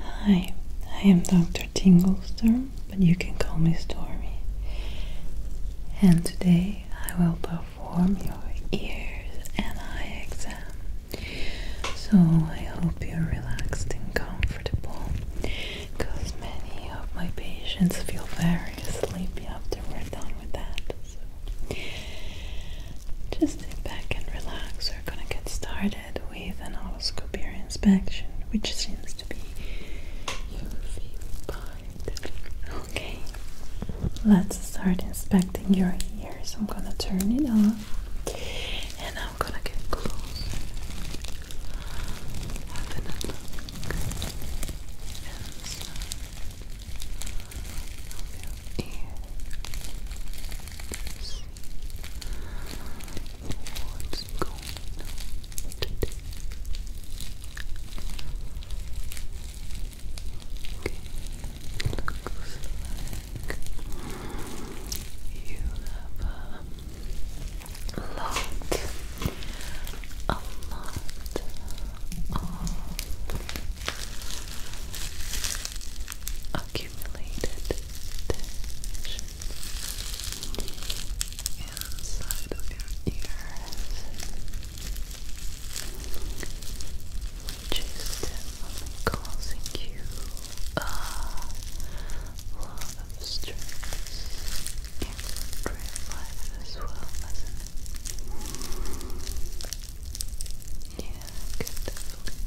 Hi, I am Dr. Tinglestorm, but you can call me Stormy. And today I will perform your ears and eye exam. So I hope you're relaxed and comfortable because many of my patients feel very sleepy after we're done with that. just sit back and relax. We're gonna get started with an otoscope ear inspection, which seems to be your favorite part. Okay, let's start inspecting your ears. I'm gonna turn it off and I'm gonna get close. What's going on today? Okay, looks like you have a lot, a lot of accumulated tension inside of your ears which is causing you a lot of stress in real life as well, Yeah, definitely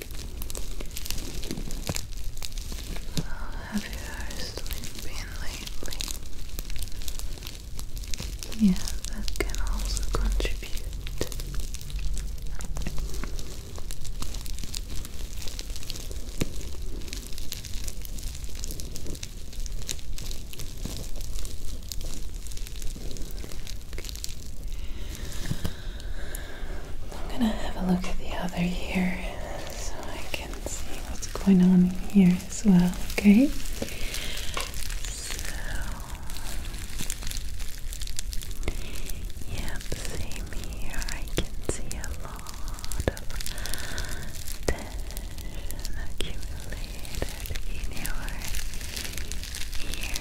How have your sleep been lately? Yeah, that can also contribute. I'm gonna have a look at the other here, so I can see what's going on here as well, okay? Yep, same here. I can see a lot of tension accumulated in your ear.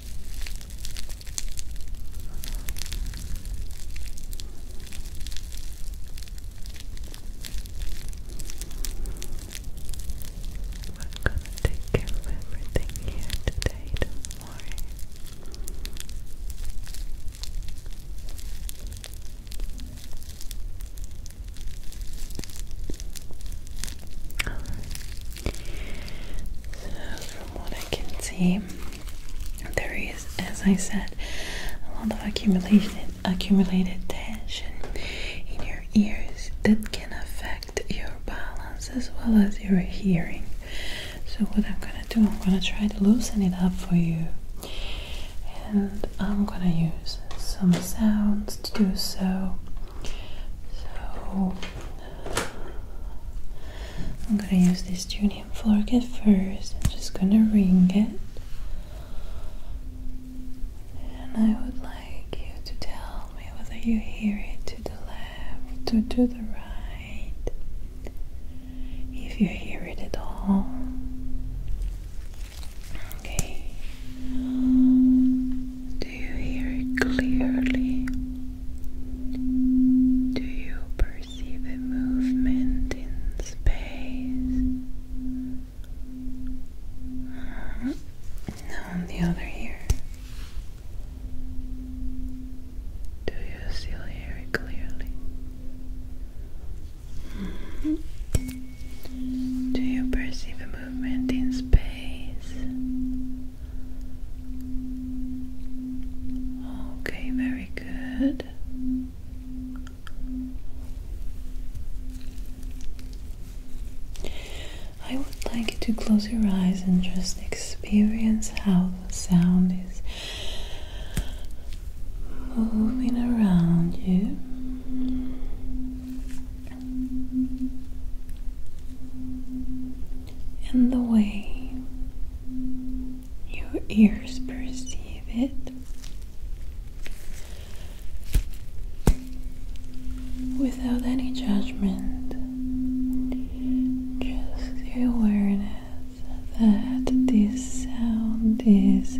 I'm gonna take care of everything here today, do so, from what I can see, there is, as I said, a lot of accumulated accumulated tension in your ears that can affect your balance as well as your hearing. So, what I'm gonna do, I'm gonna try to loosen it up for you, and I'm gonna use some sounds to do so. So, I'm gonna use this tuning fork at first. I'm just gonna ring it. And I would like you to tell me whether you hear it to the left or to the right. If you hear it at all. Okay. Do you hear it clearly? Do you perceive a movement in space? Now on the other ear. Do you still hear it clearly? Do you perceive a movement in space? Okay, very good. I would like you to close your eyes and just experience how the sound is moving around you and the way your ears perceive it. Without any judgment, just the awareness that this sound is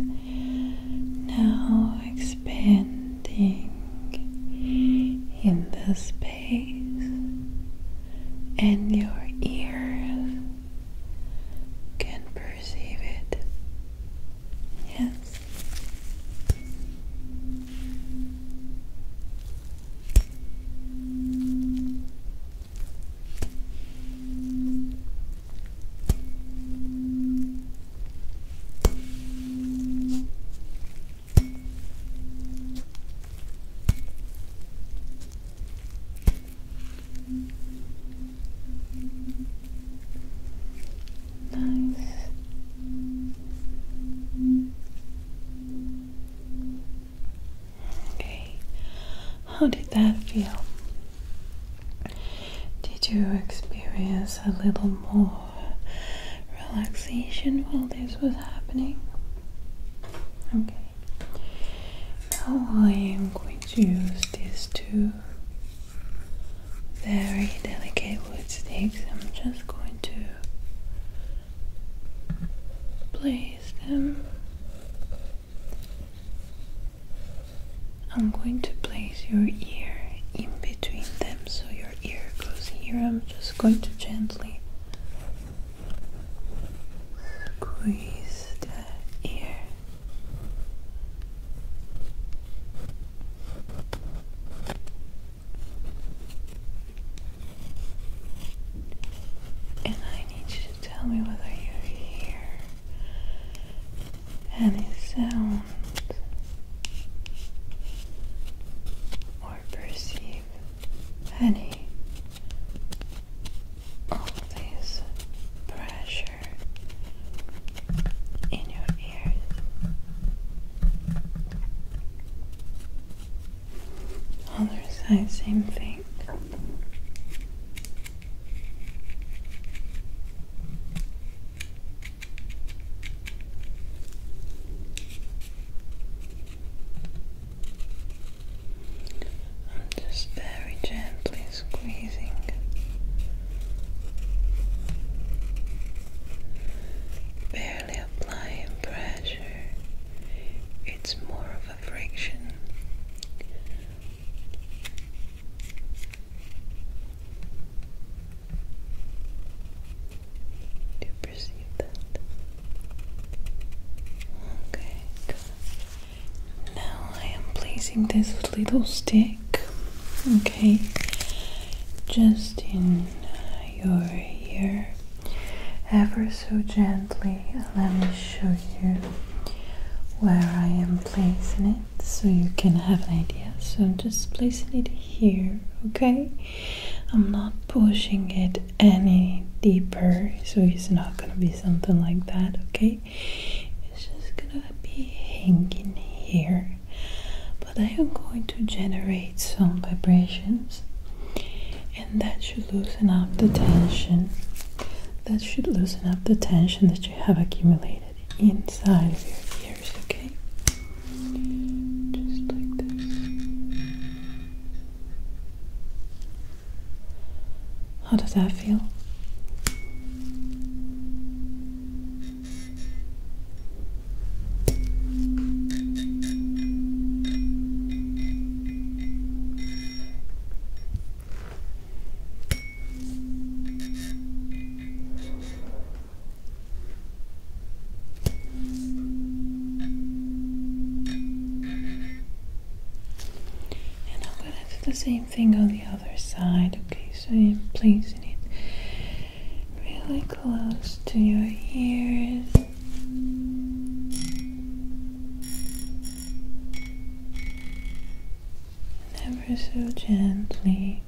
now expanding in the space and your ears can perceive it. Yes. Nice. Okay, how did that feel? Did you experience a little more relaxation while this was happening? Okay. Now I am going to use these two very delicate wood sticks. I'm just going to place them. I'm going to place your ear in between them so your ear goes here. I'm just going to gently Squeeze the ear. And I need you to tell me whether you hear any sound or perceive Honey, of this pressure in your ears. Other side, same thing. I'm just very gently squeezing barely applying pressure it's more of a friction to perceive that. Okay, Now I am placing this little stick, okay, just in your ear, ever so gently. Let me show you where I am placing it so you can have an idea. So I'm just placing it here, okay? I'm not pushing it any deeper, so it's not gonna be something like that, okay? It's just gonna be hanging here, but I am going to generate some vibrations, and that should loosen up the tension. That should loosen up the tension that you have accumulated inside of your ears, okay? just like this. How does that feel? And I'm gonna do the same thing on the other side, okay? So I'm placing it really close to your ears. Ever so gently.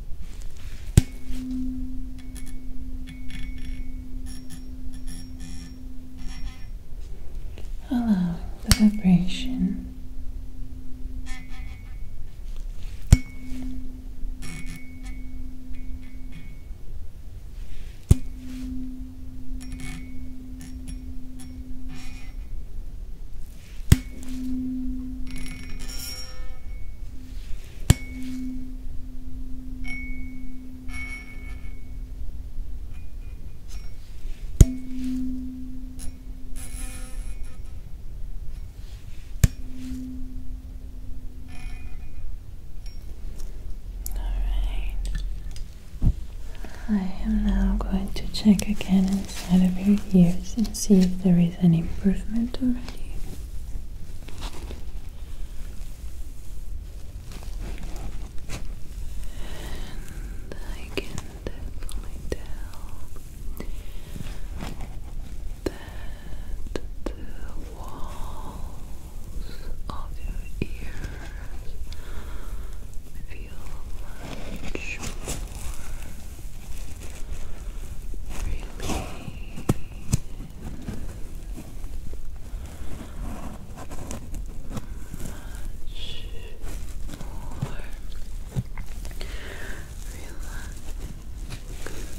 Allow the vibration all right. I am now going to check again inside of your ears and see if there is any improvement already. And I can definitely tell that the walls of your ears feel much more released much more relaxed. Like the tension is diminished a lot. And you can also perceive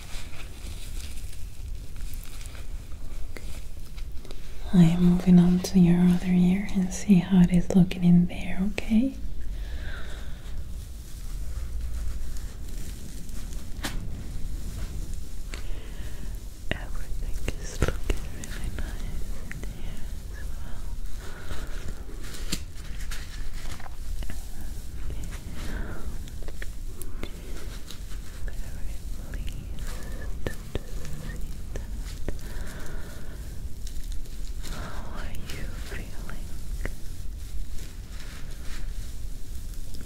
I'm moving on to your other ear and see how it is looking in there, okay? Everything is looking really nice in here as well that. How are you feeling?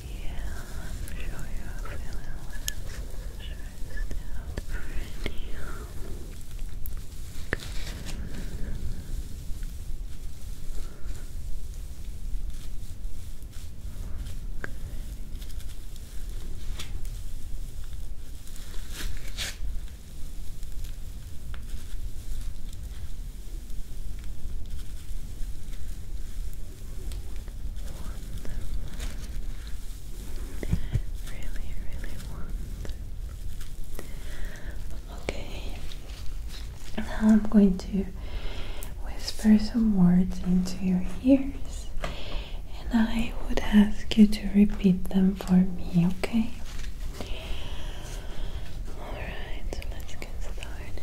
Yeah, I'm sure you're feeling less stressed out already. Good. Really, really wonderful. Okay, now I'm going to whisper some words into your ears and I would ask you to repeat them for me, okay? Alright, let's get started.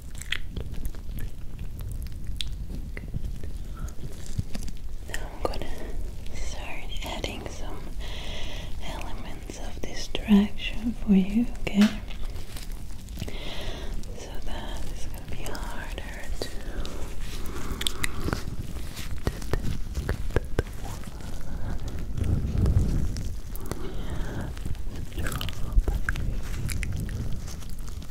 Now I'm gonna start adding some elements of distraction for you, okay? So that is gonna be harder to Yellow.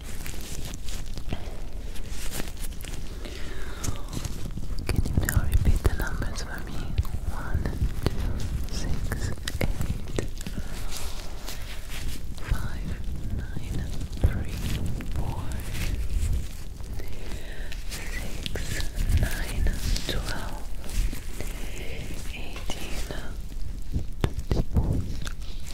Can you now repeat the numbers for me? One, two, six, eight, five, nine, three, four, six, nine, twelve, eighteen, twenty-four.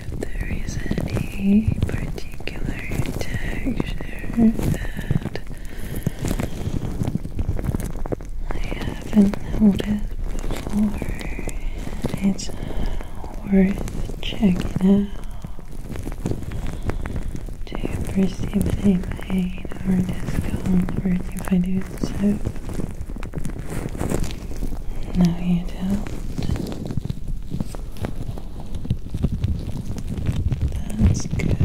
if there is any particular texture that I haven't noticed before, it's worth checking out Do you perceive any pain or discomfort if I do so. No, you don't. That's good.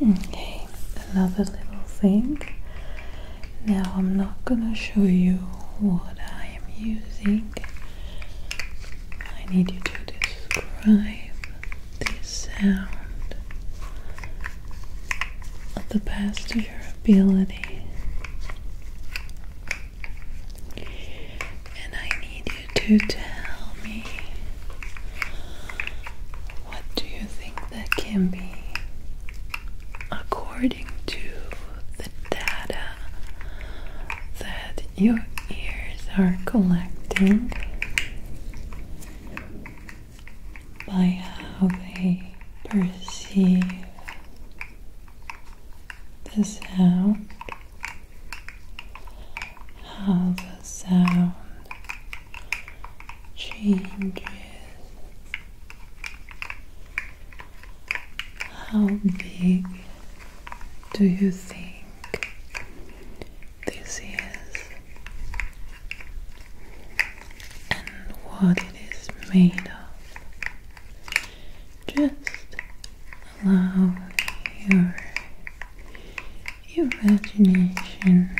Okay, another little thing. Now, I'm not gonna show you what I am using. I need you to describe the sound of the best of your ability. And I need you to tell me what do you think that can be according to the data that your ears are collecting by how they perceive the sound, how the sound changes, how big do you think this is and what it is made of. Just allow your imagination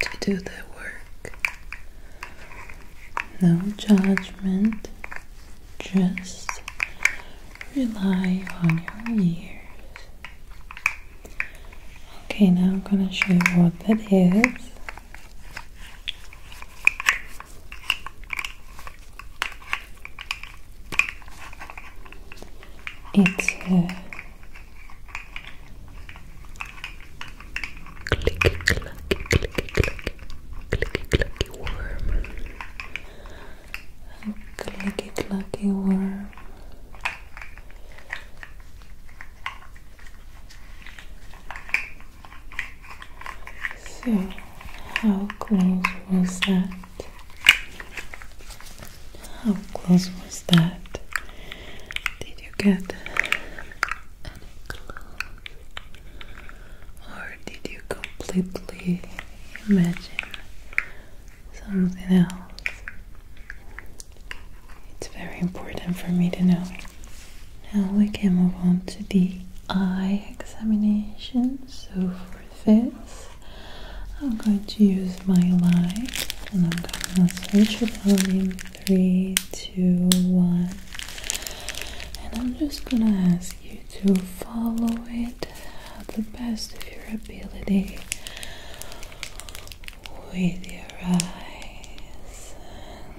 to do the work. No judgment, just rely on your ears Okay, now I'm going to show you what that is. It's a clicky, clucky, clicky, clucky, clicky, clucky worm. Click lucky worm. So, how close was that? How close was that? Did you get any clue? Or did you completely imagine something else. It's very important for me to know. Now we can move on to the eye examination. So for this, I'm going to use my light and I'm going to switch it on in three, two, one. And I'm just going to ask you to follow it it the best of your ability with your eyes.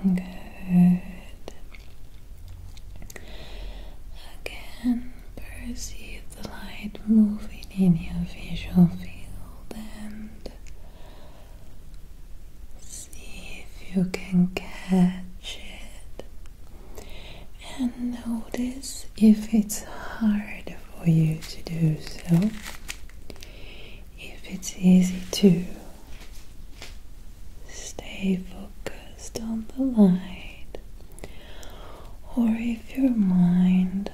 Good. Again, perceive the light moving in your visual field and see if you can catch it. And notice if it's hard for you to do so if it's easy to stay focused on the light or if your mind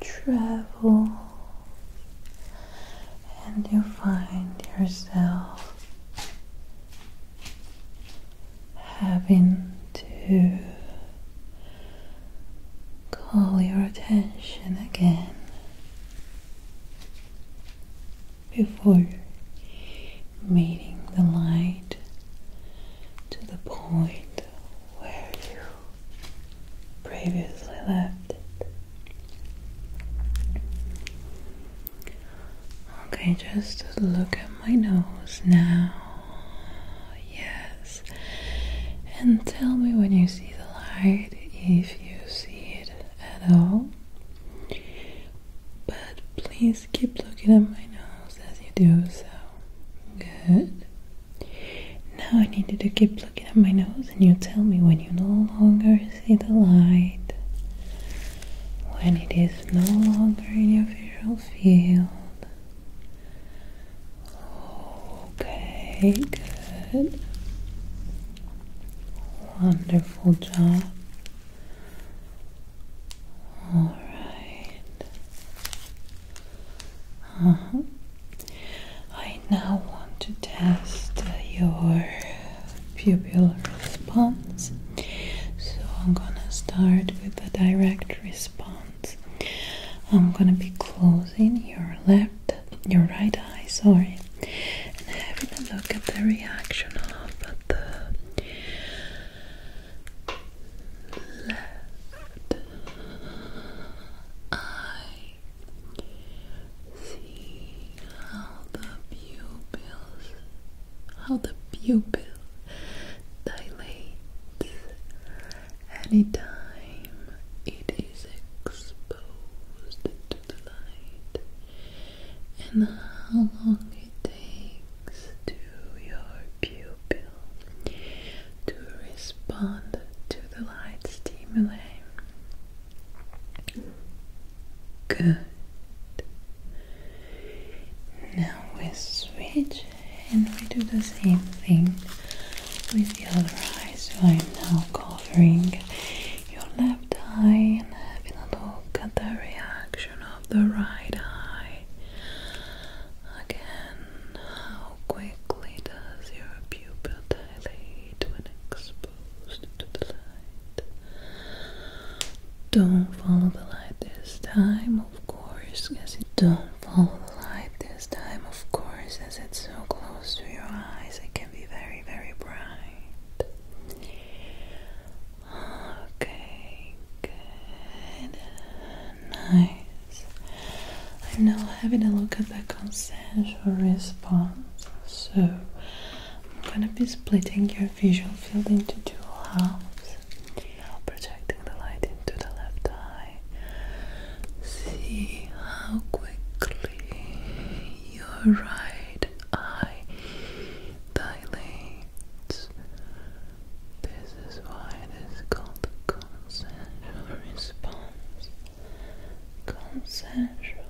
travels and you find yourself having to call your attention again before meeting the light to the point where you previously left it. Okay, just look at my nose now. Yes. And tell me when you see the light if you see it at all. But please keep looking at my nose as you do so. Good. Now I need you to keep looking at my nose and you tell me when you no longer see the light. When it is no longer in your visual field. Okay, good. Wonderful job. All right. Uh -huh. I now want to test your pupil response. So I'm gonna start with a direct response. I'm gonna be closing your left, your right eye, sorry, and having a look at the reaction of the left eye. See how the pupils, how the pupils dilates anytime it is exposed to light and how long it takes to your pupil to respond to the light stimuli. Good. Now we switch and we do the same thing with the other eye. So I'm now covering your left eye and having a look at the reaction of the right eye. Again, how quickly does your pupil dilate when exposed to the light? Don't follow the light this time of course, because it don't follow the light this time, of course, as it's so close to your eyes, it can be very, very bright. Okay, good, nice. I'm now having a look at the consensual response, so I'm gonna be splitting your visual field into two halves projecting the light into the left eye. See how quickly your right eye dilates. This is why it is called consensual response. Consensual.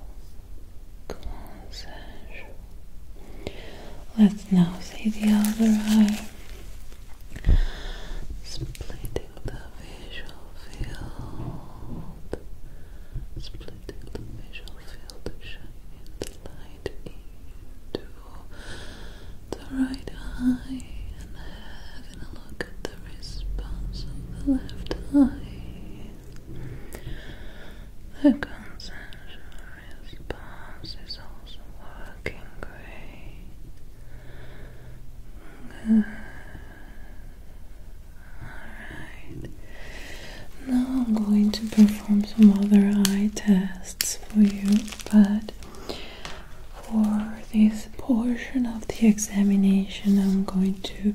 Consensual. Let's now see the other eye. Splitting the visual field. Splitting the visual field to shine in light into the right eye and having a look at the response of the left eye. The consensual response is also working great. Alright. Now I'm going to perform some other eye tests for you, but for this portion of the examination, I'm going to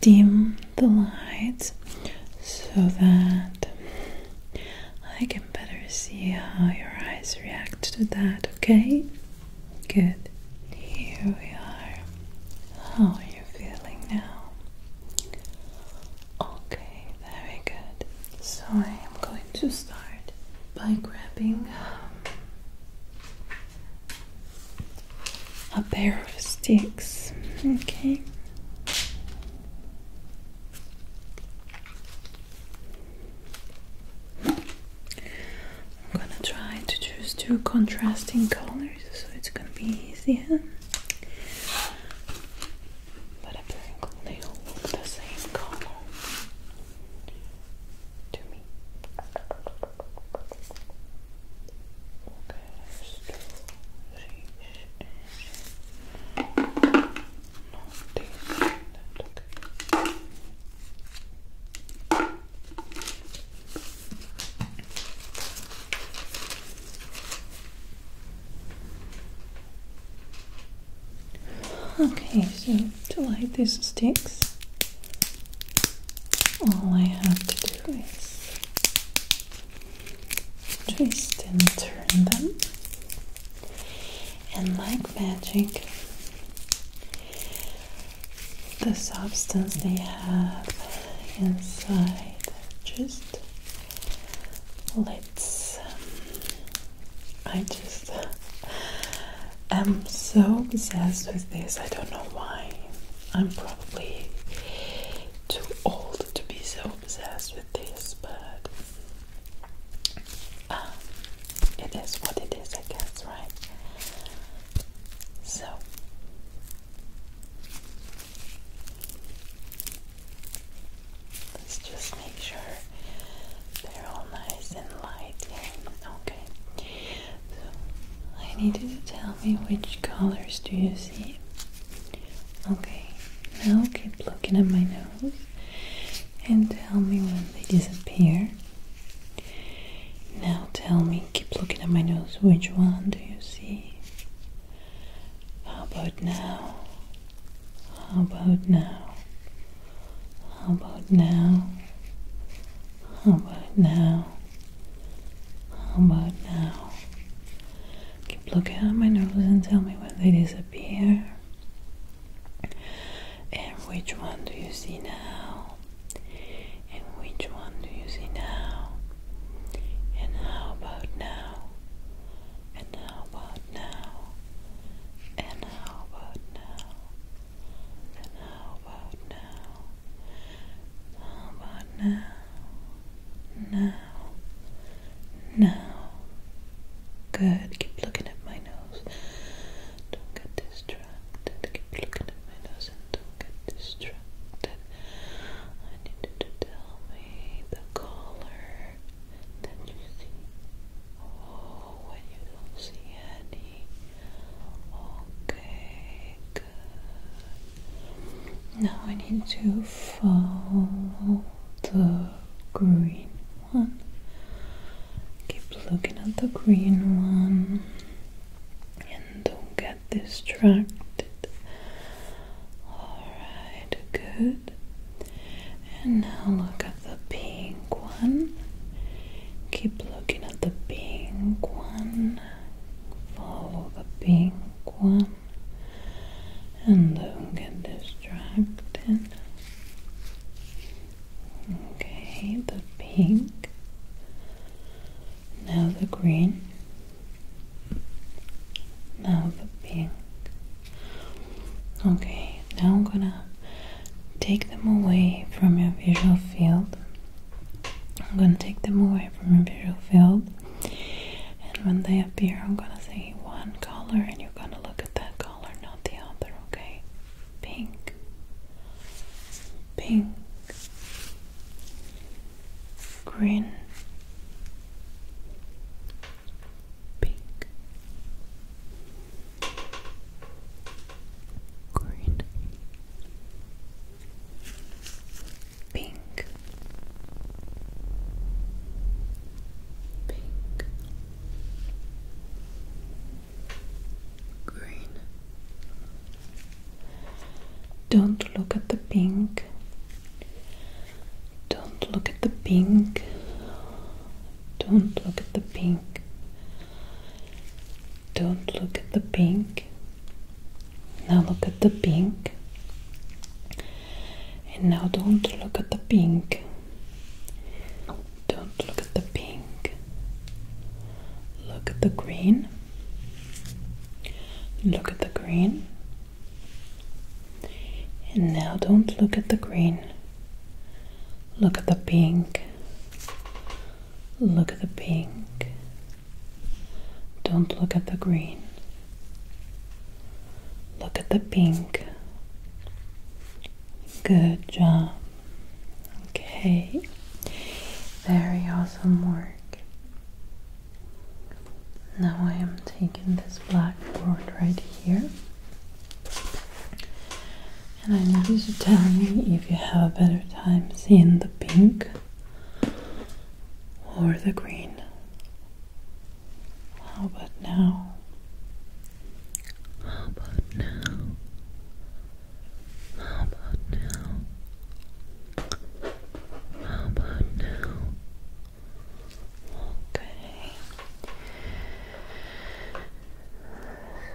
dim the lights so that I can better see how your eyes react to that, okay? Good. Here we are. How are you feeling now? Okay, very good. So I am going to start by grabbing um, a pair of sticks, okay? I'm gonna try to choose two contrasting colors so it's gonna be easier. But apparently they all look the same color to me. Okay, so to light these sticks, all I have to do is twist and turn them and like magic, the substance they have inside just lets. I just am so obsessed with this. I don't know why. I'm probably too old to be so obsessed with this, but um, it is what it is, I guess, right? So, let's just make sure they're all nice and light. okay. So, I need to tell me which colors do you see? Okay, now keep looking at my nose and tell me when they disappear. Now tell me, keep looking at my nose, which one do you see? How about now? How about now? How about now? How about now? How about now? Keep looking at my nose and tell me when they disappear. And which one do you see now? And which one do you see now? And how about now? And how about now? And how about now? And how about now? How about now? Now now, Good. Keep looking at my nose. Don't get distracted. Keep looking at my nose and don't get distracted. I need you to tell me the color that you see. Oh, when you don't see any. Okay, good. Now I need to follow the green one. Keep looking at the green one and don't get distracted. Alright, good. And now look at the pink one. Keep looking at the pink one. Follow the pink one and don't get distracted. Okay, the pink. Now the green. Now the pink. Okay, now I'm gonna take them away from your visual field. I'm gonna take them away from your visual field, and when they appear, I'm gonna say one color, and you you're gonna look at that color, not the other, okay? Pink, pink, green, pink, green, pink pink, green. Don't look at the pink. Don't look at the pink. Don't look at the pink. Don't look at the pink. Now look at the pink. And now don't look at the pink. Don't look at the pink. Look at the green. Look at the green. And now don't look at the green. Look at the pink. Look at the pink. Don't look at the green. Look at the pink. Good job. Okay. Very awesome work. Now I am taking this black board right here. And I need you to tell me if you have a better time seeing the pink or the green. How about now? How about now? How about now? How about now? Okay.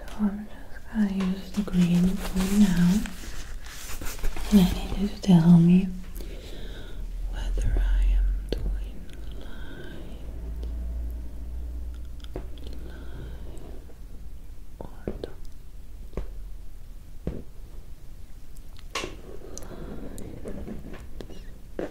So I'm just gonna use the green for now. I need you to tell me whether I am doing light, light or dark, light, light or dark.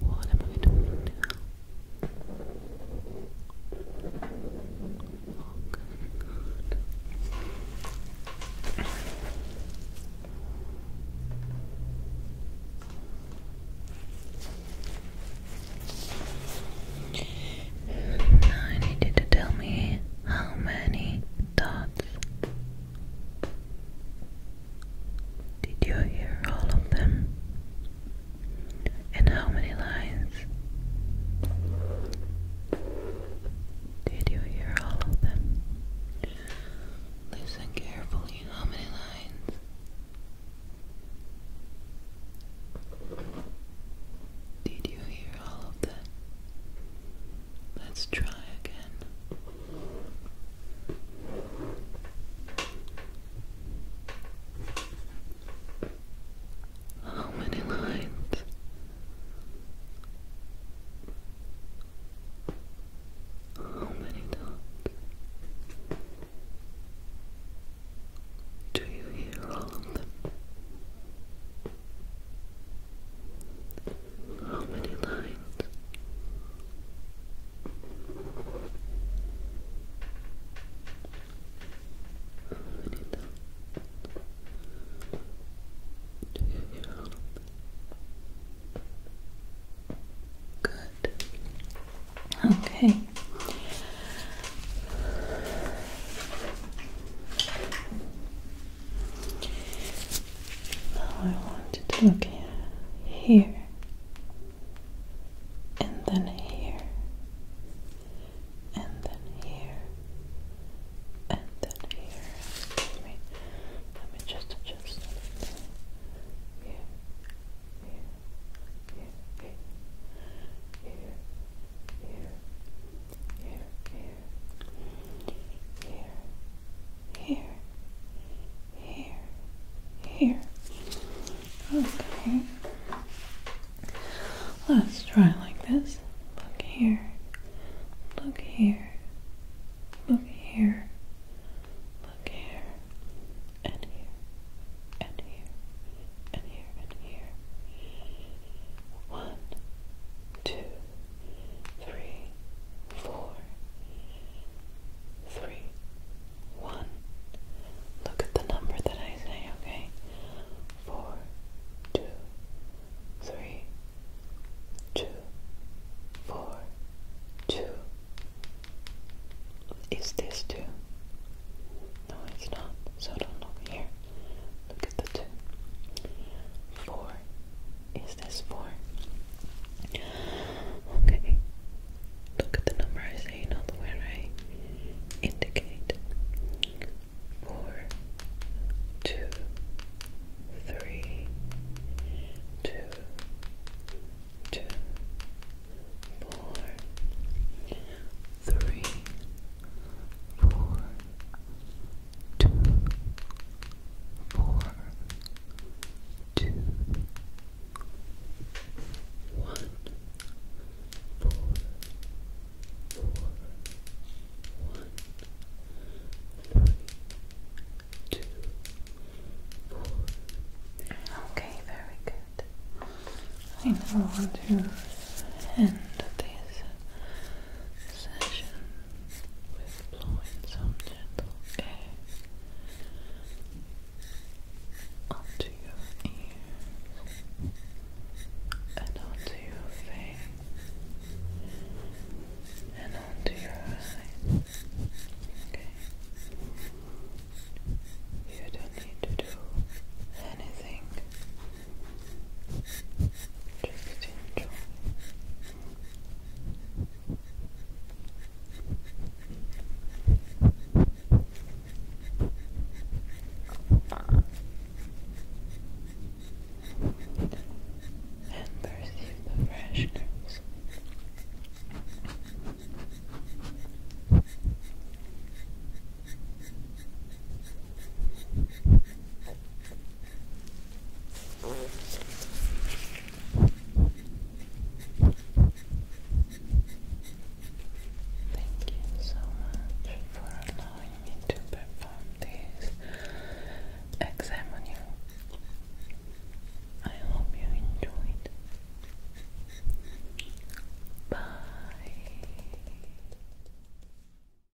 What am I doing now? Now I need you to tell me how many dots. Did you hear all of them? And how many lines? Did you hear all of them? Listen carefully. How many lines? Did you hear all of that? Let's try again. How many lines? How many dots? Do you hear all of them? How many lines? How many do you count? Good. Okay. Now I want to look here and then here and then here and then here. Excuse me. Let me just adjust here, here, here, here, here, here, here, here, here, here. Okay. Let's try like this. Look here. Look here. Look here. Look here. And here. And here. And here. And here. One, two three, four, three, one. Look at the number that I say, okay? Four, two, three, two, four, two. Is this two? No, it's not. So don't look here. Look at the two. Four. Is this four? Okay. Look at the number I say, not the where I indicate. Four, two, three, two, two, four, three, four, two, four, two, one, four, four, one, three, two, four. Okay, very good. I now end this session with blowing some gentle air onto your ears and onto your face and onto your eyes. Okay. You don't need to do anything just enjoy. And perceive the freshness. Thank you so much for allowing me to perform this exam on you. I hope you enjoyed. Bye.